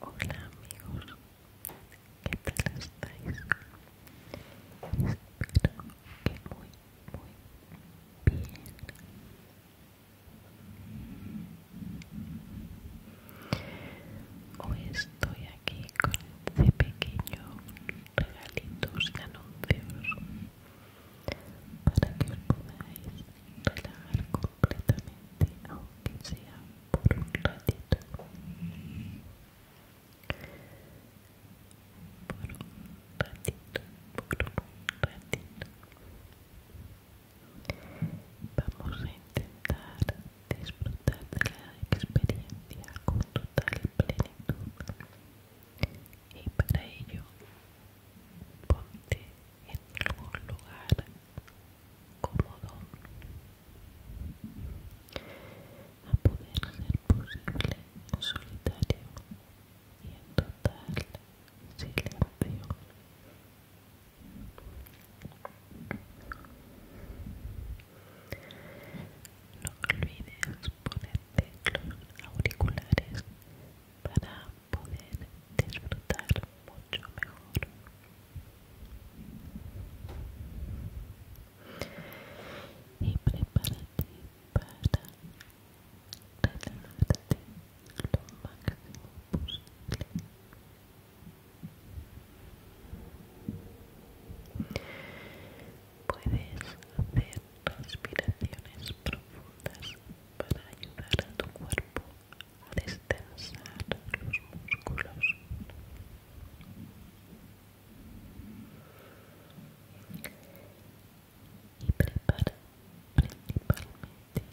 Hola amigos, ¿qué tal estáis? Espero que muy, muy bien. Hoy estoy aquí con este pequeño regalitos y anuncios para que os podáis relajar completamente aunque sea por un ratito por un ratito por un ratito vamos a intentar disfrutar de la experiencia con total plenitud y para ello ponte en un lugar cómodo a poder ser posible en solitario y en total silencio no olvides ponerte los auriculares para poder disfrutar mucho mejor. Y prepárate para relajarte lo máximo posible. Puedes hacer respiraciones profundas para ayudar a tu cuerpo a destensar los músculos. Y prepara principalmente tu oído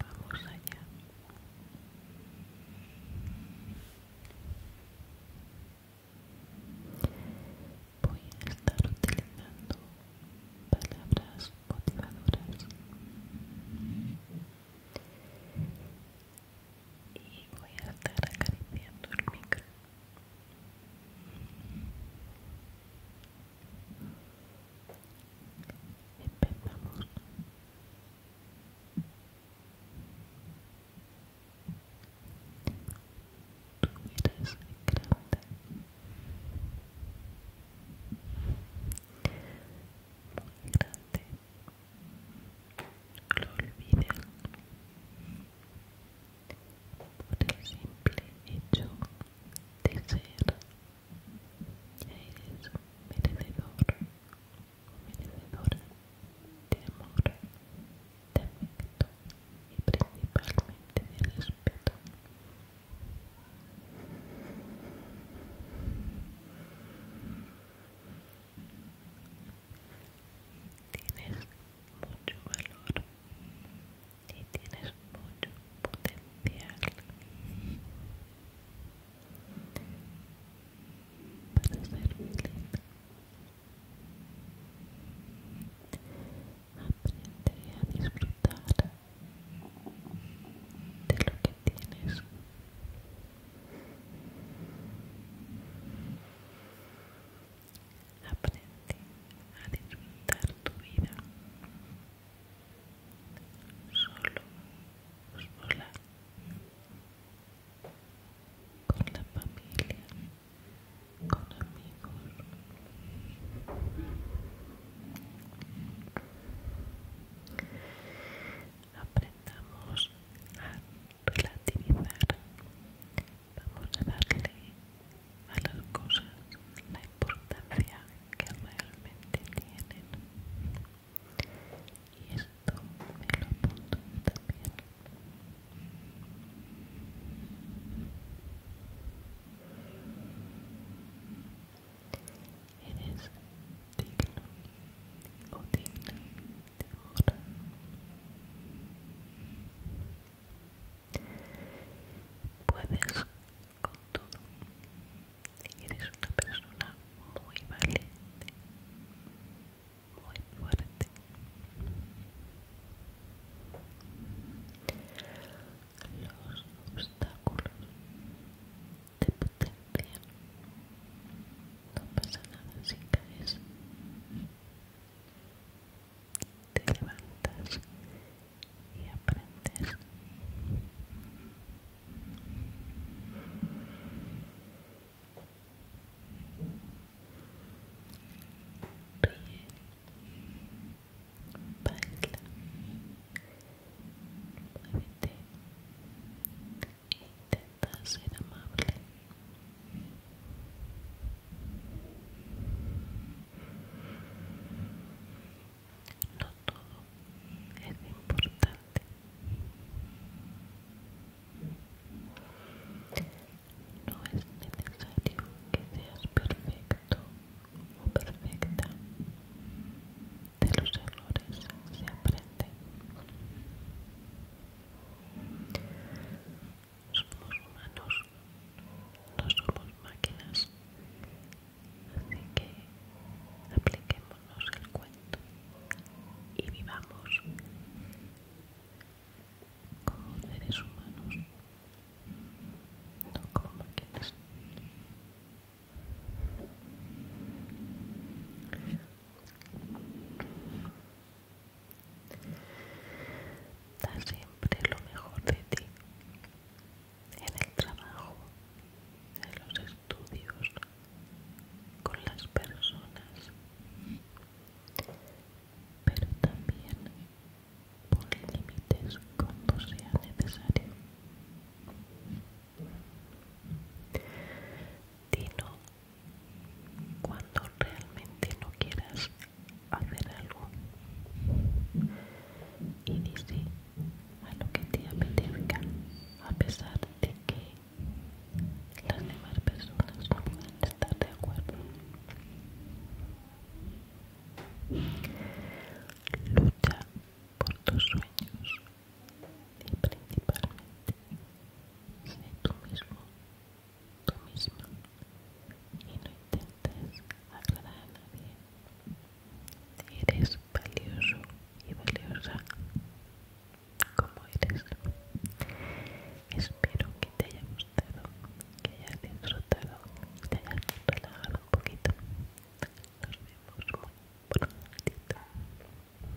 Vamos Voy a estar utilizando palabras motivadoras y voy a estar acariciando el micro. Empezamos. Tú eres grande. Muy grande. Lo olvidé por el simple hecho de ser Eres un merecedor un de amor, de afecto y principalmente de respeto. Tienes mucho valor, y tienes mucho potencial para ser feliz. aprende a disfrutar de lo que tienes. Aprende a disfrutar tu vida. Solo, sola, con la familia, con amigos. Aprendamos a relativizar vamos a darle a las cosas la importancia que realmente tienen y esto me lo pongo también eres digno o de Puedes con todo. Eres una persona muy valiente, muy fuerte. Los obstáculos te potencian. No pasa nada si caes te levantas y aprendes. Ríe, baila, muévete, intenta ser amable. No todo es importante. No es necesario que seas perfecto o perfecta. De los errores se aprende somos humanos, no somos máquinas, así que apliquémonos el cuento y vivamos como seres humanos, no como máquinas. Da siempre lo mejor de ti, en el trabajo, en los estudios, con las personas, pero también pon límites cuando sea necesario. Dino cuando realmente no quieras hacer algo y dice a lo que te apetezca a pesar de que las demás personas no puedan estar de acuerdo lucha por tus sueños y principalmente sé tú mismo, tú misma y no intentes hablar a nadie. Eres valioso y valiosa como eres. Espero que te haya gustado, que hayas disfrutado, que te hayas relajado un poquito. Nos vemos muy pronto